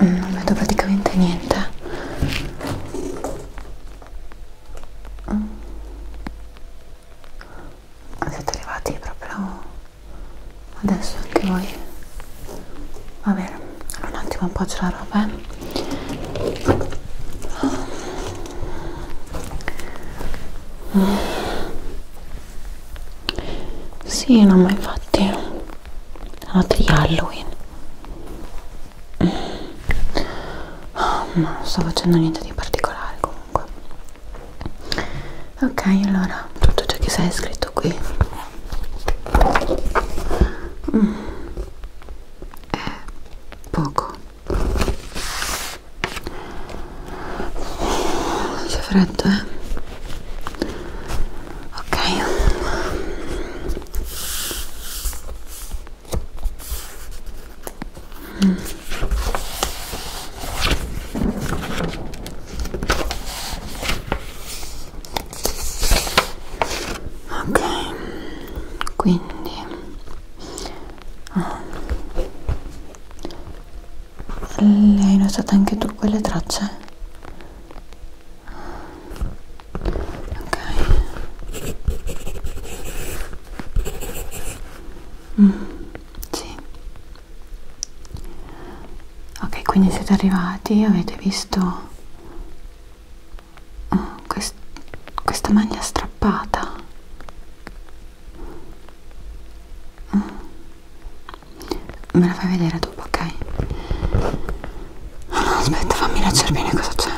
non vedo praticamente niente mm. siete arrivati proprio adesso anche voi va bene allora un attimo appoggio la roba eh. Mm. sì no ma infatti la notte di Halloween mm. oh, non sto facendo niente di particolare comunque ok allora tutto ciò che sei scritto qui mm. è poco c'è freddo eh ok mm. ok quindi oh le hai notate anche tu quelle tracce? ok mm, sì ok quindi siete arrivati avete visto oh, quest questa maglia strappata mm. Me la fai vedere dopo, ok? No, no, aspetta, fammi leggere bene cosa c'è.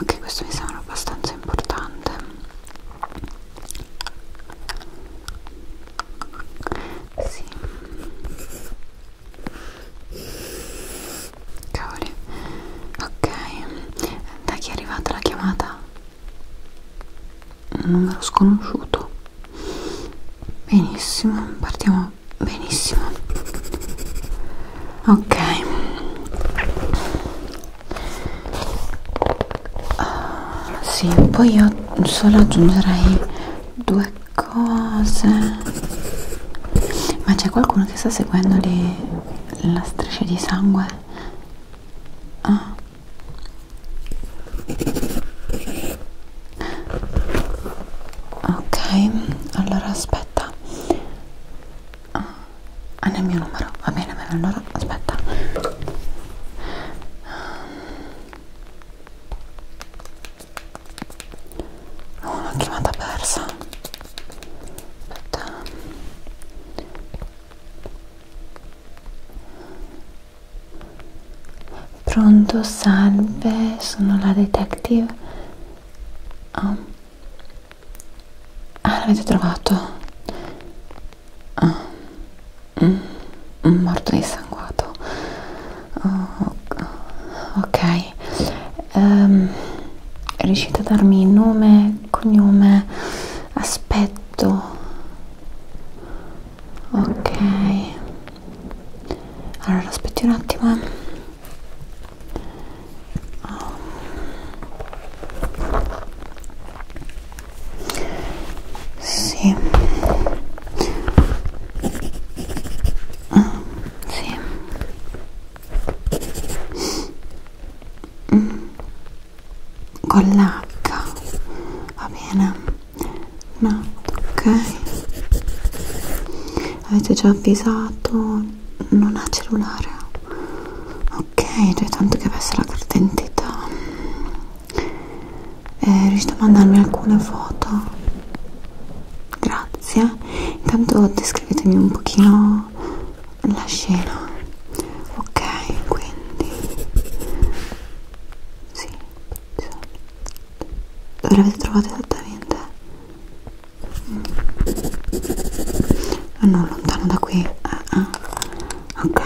Ok, questo mi sembra abbastanza importante. Sì. Cavoli. Ok. Da chi è arrivata la chiamata? Un numero sconosciuto. Benissimo, partiamo benissimo. Ok uh, sì poi io solo aggiungerei due cose ma c'è qualcuno che sta seguendo lì la striscia di sangue ah. ok allora aspetta ah ah, nel mio numero va bene allora aspetta ho una chiamata persa aspetta pronto salve sono la detective oh. Ah, l'avete trovato? Ah. Mm. Morto dissanguato. Oh, ok. Um, riuscite a darmi nome, cognome, aspetto? Ok. Allora, aspetti un attimo. Sì. Ah, sì. Mm. Con l'H. Va bene. No, ok. Avete già avvisato non ha cellulare ok cioè tanto che avesse la carta d'identità eh, riuscite a mandarmi alcune foto grazie intanto descrivetemi un pochino la scena ok quindi sì dove l'avete trovata esattamente Ah, non lontano da qui ah, ah. ok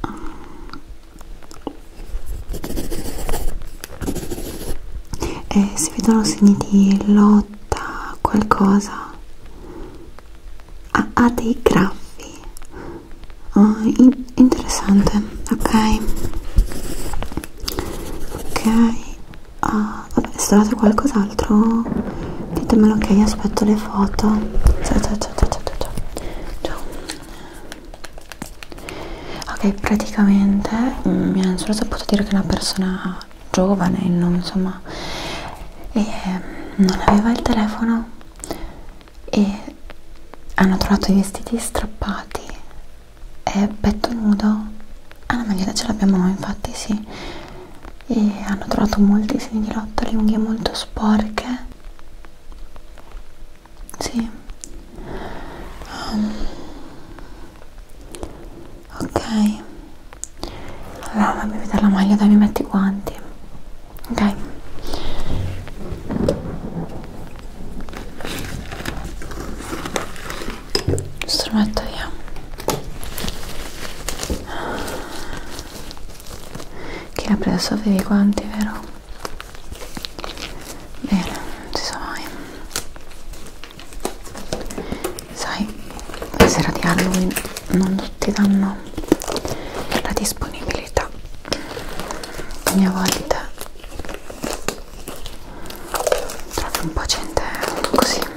ah. Eh, e si vedono segni di lotta qualcosa ah, ha ah, ah, dei graffi ah, in interessante ok ok Ah, vabbè, se trovate qualcos'altro ditemelo ok, aspetto le foto. Ciao, ciao, ciao, ciao, ciao, ciao. ciao. Ok, praticamente mm, mi hanno solo saputo dire che è una persona giovane, insomma, e mm, non aveva il telefono e hanno trovato i vestiti strappati è petto nudo ah la maglietta ce l'abbiamo noi infatti sì e hanno trovato molti segni di lotta le unghie molto sporche sì um. ok allora fammi vedere la maglia dai mi metti i guanti ok strumento via chi l'ha preso avevi quanti vero? bene non si sa mai sai la sera di Halloween non tutti danno la disponibilità ogni volta trovi un po' gente così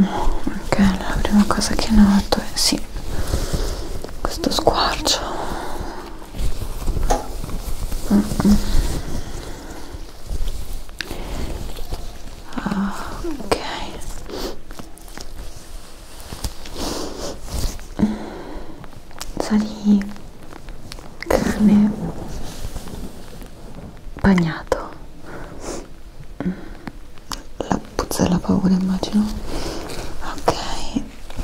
Oh, ok, la prima cosa che noto è sì, questo squarcio. Mm -mm. Ah, ok sa di carne bagnato la puzza della paura immagino ok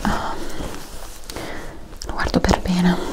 ah. lo guardo per bene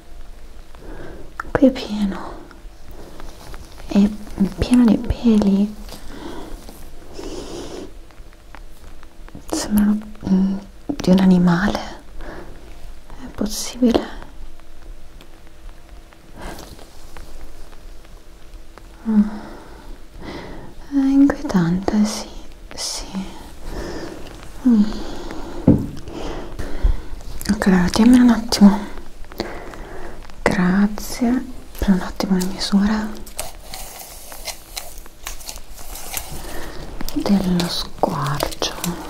qui è pieno è pieno di peli sembrano mm, di un animale è possibile mm. è inquietante sì sì Mm. Ok, allora tienmelo un attimo. Grazie. Prendo un attimo la misura dello squarcio.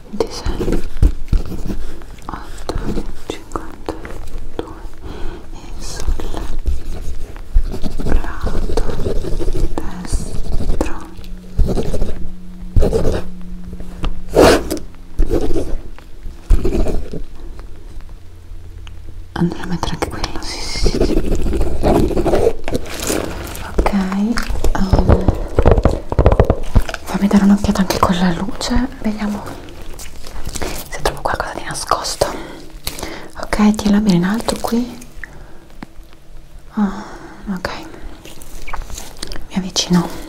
26 8 52 e sul lato destro andrò a mettere anche quello sì sì sì ok um, fammi dare un'occhiata anche con la luce vediamo se trovo qualcosa di nascosto ok tienila bene in alto qui oh, ok mi avvicino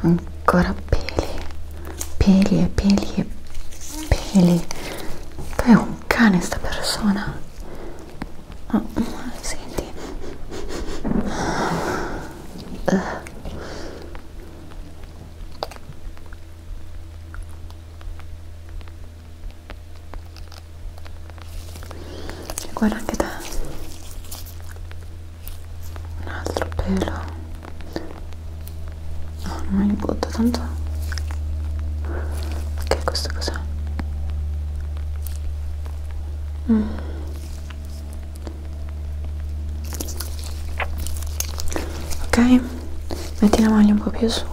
ancora peli peli e peli e peli poi è un cane sta persona oh, senti uh e guarda anche te un altro pelo no, non mi butto tanto ok questo cos'è? Mm. ok metti la maglia un po' più su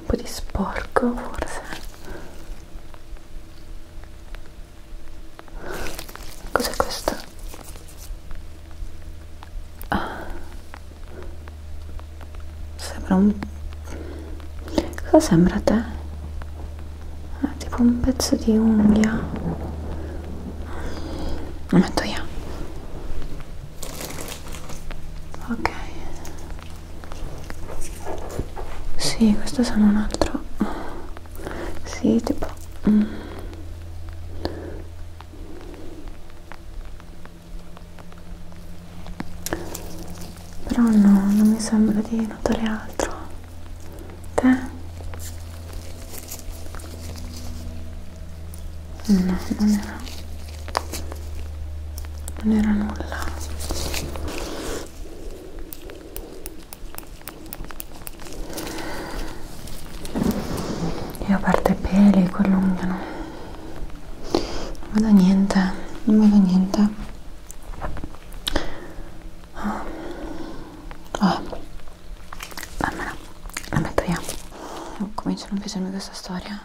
un po' di sporco forse cos'è questo? Ah. sembra un cosa sembra a te? Ah, tipo un pezzo di unghia lo metto io ok sì, questo sono un altro. Sì, tipo... Mm. Però no, non mi sembra di notare altro. Te? No, non era non era nulla io ho aperto i peli quell'ungano non vedo niente non vedo niente ah. ah. Dammela, la metto io oh, cominciano a piacermi questa storia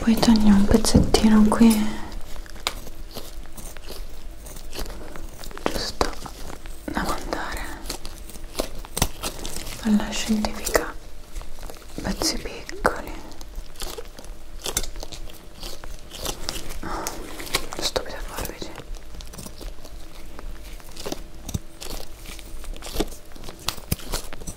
poi togli un pezzettino qui giusto da mandare alla scientifica pezzi piccoli oh, ah, stupida forbice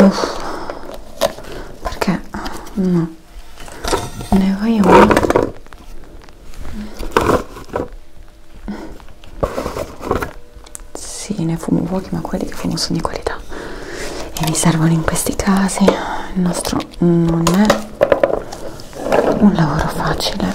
Uff. perché no ne vai uno sì ne fumo pochi ma quelli che fumo sono di qualità e mi servono in questi casi il nostro non è un lavoro facile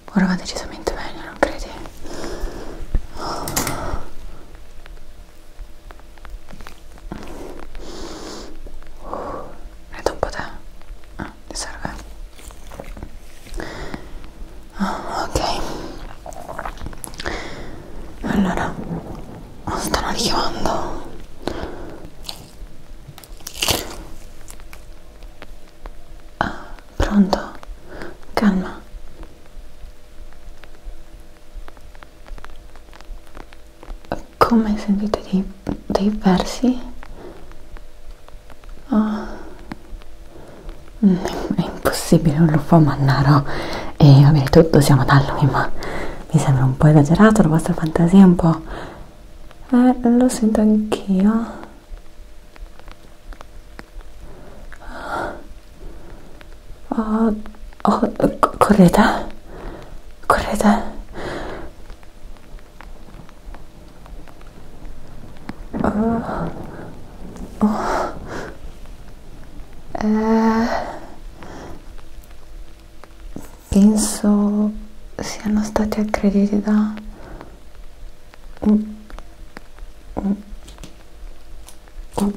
Ora va decisamente meglio, non credi? Uh, eh, è da un po' te? Ah, ti serve? Oh, ok. Allora, lo oh, stanno richiamando. Ah, Pronto? Calma. Come sentite dei, dei versi? Oh. Mm, è impossibile, un lupo mannaro. E vabbè, tutto siamo ad Halloween, ma mi sembra un po' esagerato la vostra fantasia, un po'... Eh, lo sento anch'io. ああこれだこれだああえー、penso oh, oh, oh, eh, siano stati aggrediti da oh, oh, oh,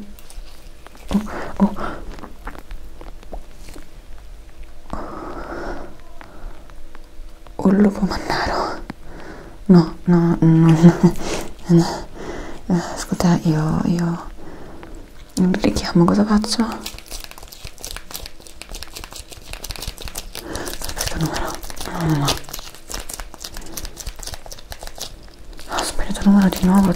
oh, oh, lupo mannaro no, no, no, no. Eh, ascolta, io, io richiamo, cosa faccio? questo numero no no no ho sbagliato il numero di nuovo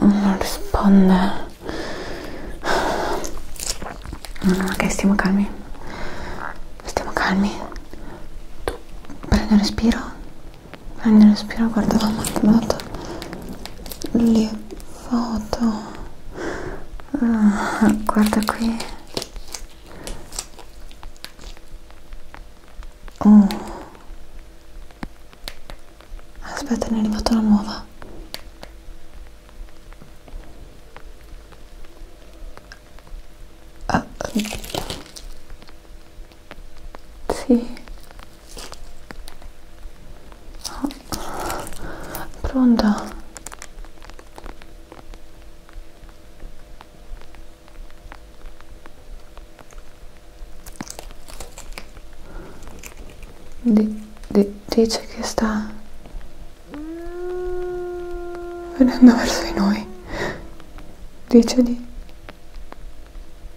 non risponde no, ok stiamo calmi stiamo calmi tu prendi un respiro Andiamo a spiro, guarda la matematica. Le foto. Uh, guarda qui. Oh. Aspetta, ne è arrivata una nuova. Uh, sì. Oh. Pronta? Di, di, dice che sta venendo verso di noi. Dice di